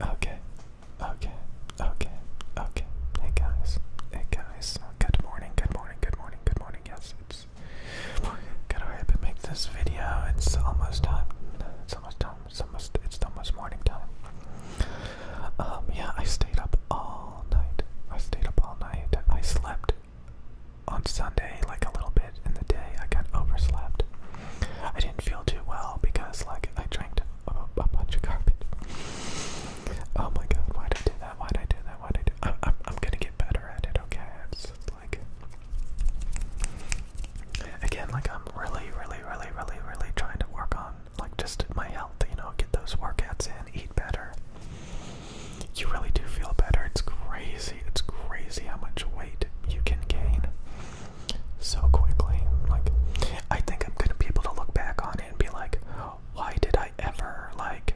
Okay, okay, okay, okay. Hey guys, hey guys. Good morning, good morning, good morning, good morning. Yes, it's. Gotta hurry up make this video. It's almost time. It's almost time. It's almost. It's almost morning time. Um. Yeah, I stayed up all night. I stayed up all night. I slept on Sunday like a little bit, in the day. I got overslept. I didn't feel too well because, like, I drank a, bunch of garbage. Oh my god, why'd I do that? Why'd I do that? Why'd I I'm, gonna get better at it, okay? like. Again, like, I'm really, really, really, really, really trying to work on, like, just my health, you know, get those workouts in, eat better. You really do feel better. It's crazy. It's crazy how much weight you can gain so quickly. Like, I think I'm gonna be able to look back on it and be like, why did I ever like?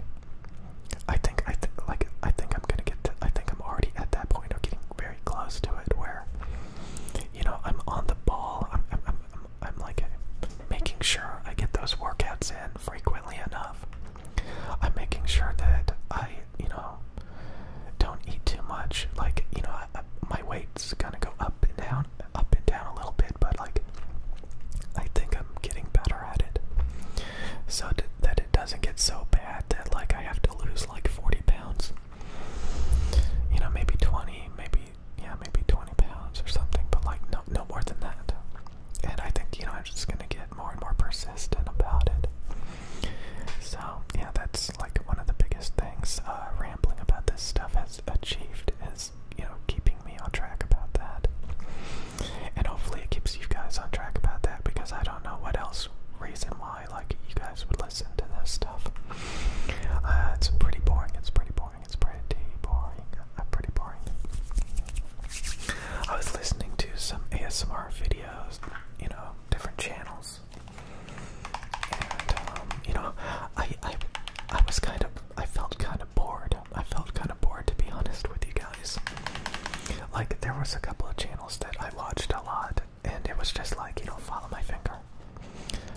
I think I think like I think I'm gonna get. To, I think I'm already at that point of getting very close to it where, you know, I'm on the ball. I'm I'm, I'm, I'm like making sure I get those workouts in frequently enough. I'm making sure that I, you know, don't eat too much. Like you know, my weight's gonna go up and down, up and down a little bit, but like I think I'm getting better at it, so that it doesn't get so bad that like I have to lose like 40 pounds. You know, maybe 20, maybe yeah, maybe 20 pounds or something, but like no, no more than that. And I think you know I'm just gonna get more and more persistent about it. So, yeah, that's like one of the biggest things uh, rambling about this stuff has achieved is, you know, keeping me on track about that. And hopefully it keeps you guys on track about that because I don't know what else reason why like you guys would listen to this stuff. Uh, it's pretty boring. It's pretty boring. It's pretty boring. Uh, pretty boring. I was listening to some ASMR video you know, different channels. Um, you know, I I I was kind of I felt kind of bored. I felt kind of bored to be honest with you guys. Like there was a couple of channels that I watched a lot, and it was just like you know, follow my finger,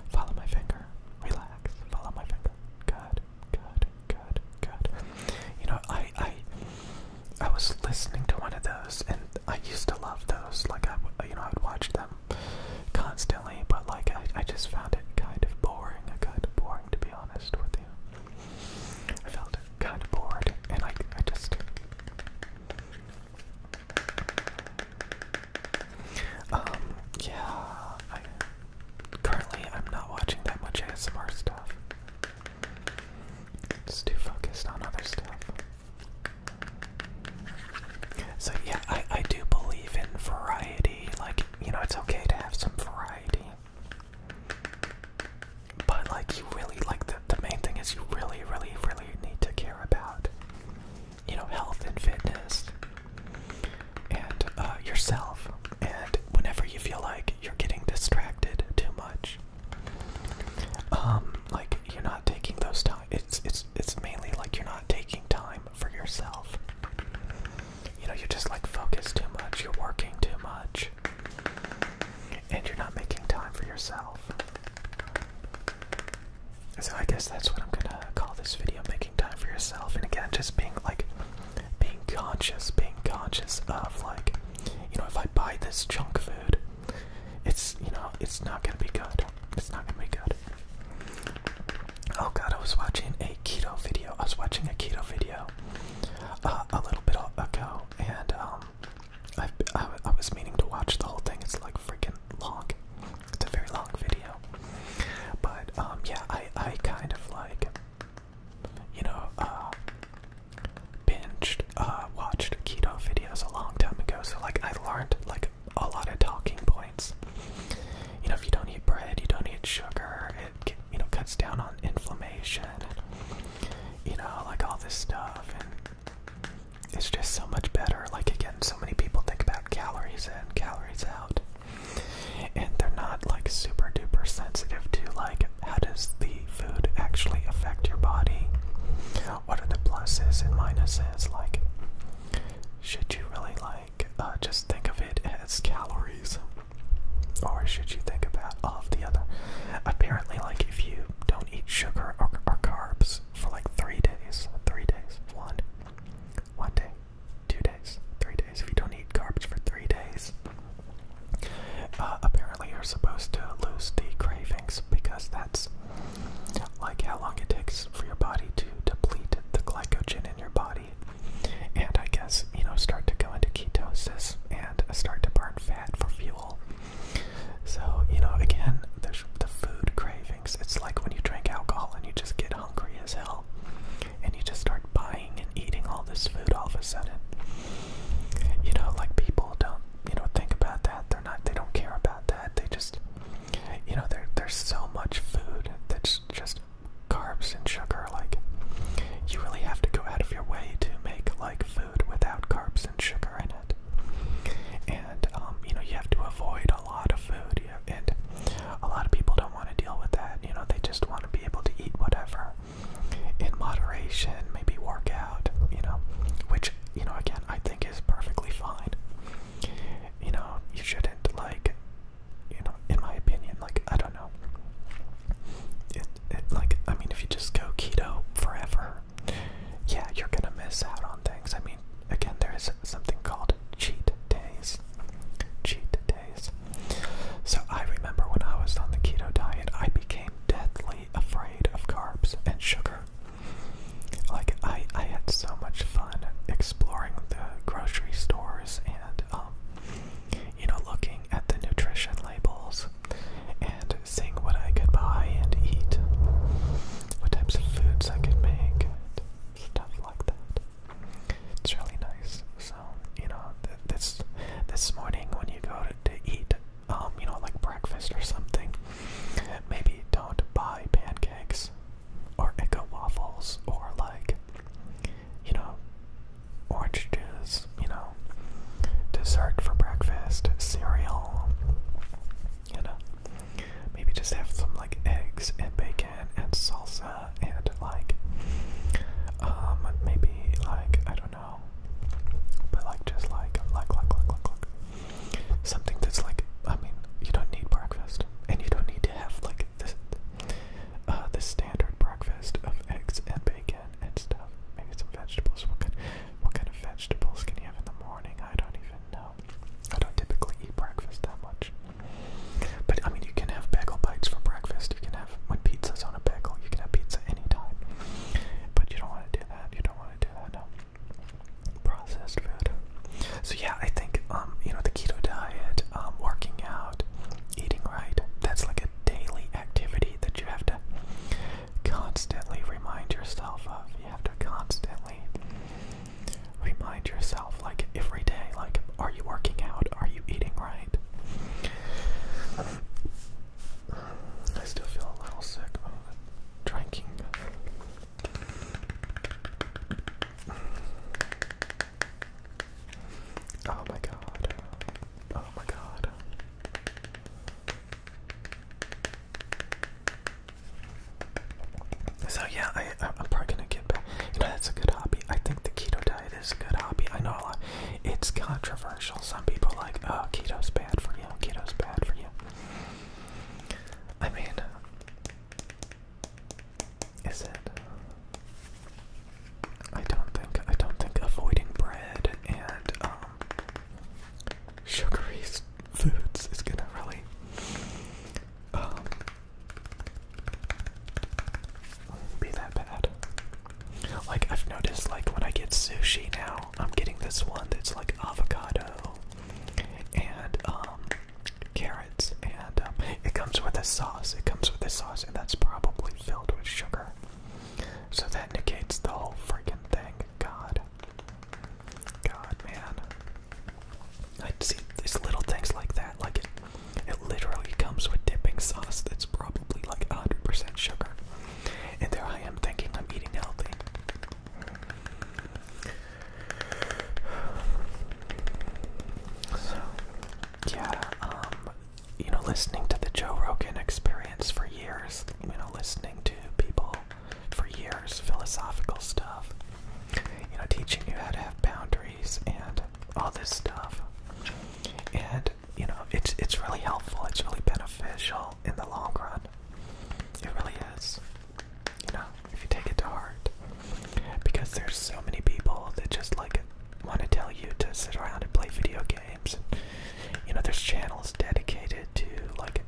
follow my finger, relax, follow my finger, good, good, good, good. You know, I I I was listening to one of those, and I used to love those. Like I, you know, I would watch them constantly, but like I, just found it kind of boring. Uh, kind of boring, to be honest with you. I felt kind of bored, and I, I just. Um. Yeah. currently, I'm not watching that much ASMR stuff. It's too focused on other stuff. So yeah, I, I do believe in variety. Like, you know, it's okay to have some variety. But like you really like the the main thing is you really, really, really need to care about you know health and fitness and uh, yourself and whenever you feel like you're getting distracted too much um like you're not taking those time it's it's it's mainly like you're not taking time for yourself you know you're just like focused too much you're working too much and you're not making time for yourself so i guess that's what i'm gonna call this video making time for yourself and again just being like being conscious, being conscious of like, you know, if I buy this junk food, it's you know, it's not gonna be good. It's not gonna be good. Oh god, I was watching a keto video. I was watching a keto video uh, a little bit ago, and um, I I was meaning to watch the whole thing. It's like freaking long. It's a very long video, but um, yeah, I I kind of like you know, uh, binged, uh, watched keto videos a long time ago, so like I learned like a lot of talking points. You know, if you don't eat bread, you don't eat sugar, it you know cuts down on inflammation, you know, like all this stuff, and it's just so much better. Like again, so many people think about calories in, calories out and they're not like super duper sensitive to like how does the food actually affect your body what are the pluses and minuses like should you really like uh, just think of it as calories or should you think about all of the other apparently like if you don't eat sugar or, or carbs for like three days three days one one day two days, three days. If you don't eat carbs for three days, uh, apparently you're supposed to lose the cravings because that's like how long it takes for your body to deplete the glycogen in your body, and I guess you know start to go into ketosis and start to burn fat for fuel. So you know again, the the food craving fix. It's like when you drink alcohol and you just get hungry as hell and you just start buying and eating all this food all of a sudden. You know, like people don't, you know, think about that. They're not they don't care about that. They just you know, there there's so much food that's just carbs and sugar like you really have to go out of your way to make like food without carbs and sugar in it. And um, you know, you have to avoid a lot of food area, and a lot of people don't want to deal with that. You know, they just want to be able to eat whatever in moderation, maybe work out. You know, which you know again I think is perfectly fine. You know, you shouldn't like, you know, in my opinion, like I don't know. It, it, like I mean, if you just go keto forever, yeah, you're gonna miss out on things. I again, there is something called cheat days. Cheat days. So I remember when I was on the keto diet, I became deathly afraid of carbs and sugar. Like I, I had so much fun exploring the grocery stores and, um, you know, looking at the nutrition labels and seeing what I could buy and eat, what types of foods I could make, stuff like that. It's really nice. So you know, this this morning when you go to, eat, um, you know, like breakfast or something, maybe don't buy pancakes or echo waffles or like, you know, orange juice. You know, dessert for breakfast, cereal. You know, Maybe just have some like eggs and bacon and salsa and like um maybe like I don't know but like just like like like like like something that's like I mean you don't need breakfast and you don't need to have like this uh, the standard breakfast of eggs and bacon and stuff maybe some vegetables what kind what kind of vegetables can you have in the morning I don't even know I don't typically eat breakfast that much. But I mean, you can have bagel bites for breakfast. You can have, when pizza's on a bagel, you can have pizza anytime. But you don't want to do that. You don't want to do that, no. Processed food. So yeah, I think, um, you know, the keto diet, um, working out, eating right, that's like a daily activity that you have to constantly remind yourself of. You have to constantly remind yourself, like every day, like, are you working out? Are you eating right? I still feel a little sick about drinking. Oh my god. Oh my god. So yeah, I, am probably gonna get back. You know, that's a good hobby. I think the keto diet is a good hobby. I know a lot. It's controversial. Some people like, oh, keto's bad for you. Keto's bad for you. I mean, is it? I don't think. I don't think avoiding bread and um, sugary foods is gonna really um, be that bad. Like I've noticed, like when I get sushi now, I'm getting this one that's like avocado and um, carrots, and um, it comes with a sauce. It comes with a sauce, and that's probably filled with sugar. So that negates the whole freaking thing. God. God, man. I see these little things like that. Like it, it literally comes with dipping sauce that's probably like 100% sugar. And there I am thinking I'm eating healthy. So, yeah, um, you know, listening to the Joe Rogan experience for years, you know, listening to people for years, philosophical stuff, you know, teaching you how to have boundaries and all this stuff. And, you know, it's it's really helpful, it's really beneficial in the long run. It really is. You know, if you take it to heart. Because there's so many people that just like want to tell you to sit around and play video games you know, there's channels dedicated to like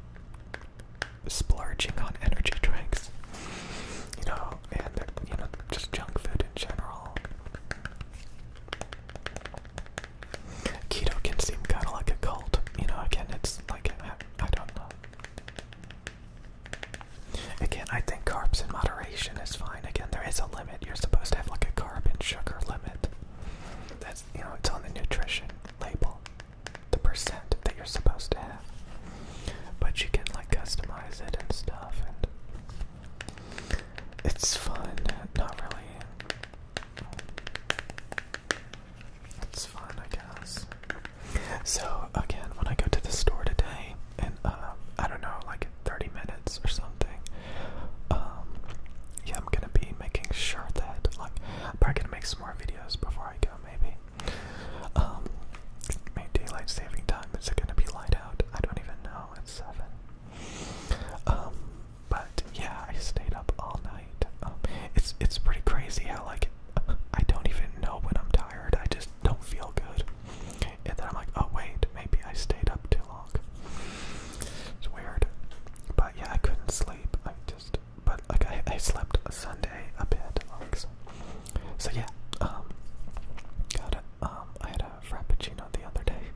splurging on energy drinks. You know, and you know, just junk food in general. Keto can seem kind of like a cult. You know, again, it's like I, don't know. Again, I think carbs in moderation is fine. Again, there is a limit. You're supposed to have like a carb and sugar limit. That's, you know, it's on the nutrition label, the percent that you're supposed to have. But you can like customize it and stuff, and it's fun. Not really. It's fun, I guess. So again, when I go to the store today, and uh, I don't know, like 30 minutes or something. Um, yeah, I'm gonna be making sure that, like, I'm probably gonna make some more videos before I go, maybe. Um, daylight saving time. Is it gonna be light out? I don't even know. It's seven. Um, but yeah, I stayed up all night. Um, it's it's pretty crazy how like I don't even know when I'm tired. I just don't feel good. And then I'm like, oh wait, maybe I stayed up too long. It's weird. But yeah, I couldn't sleep. I just, but like I, I slept a Sunday a bit. so, yeah, um, got it. Um, I had a frappuccino the other day.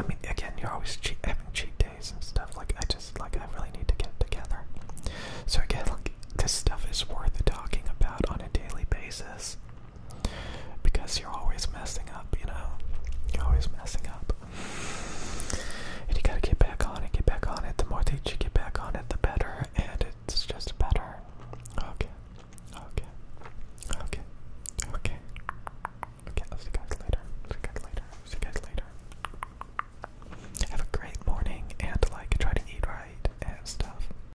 I mean, again, you're always cheat, having cheat days and stuff. Like I just, like I really need to get together. So again, like this stuff is worth talking about on a daily basis. Because you're always messing up, you know? You're always messing up. And you gotta get back on it, get back on it. The more that you get back on it, the better. And it's just better. Okay. Okay. Okay. Okay. Okay, see you guys later. See you guys later. See you guys later. Have a great morning and like try to eat right and stuff.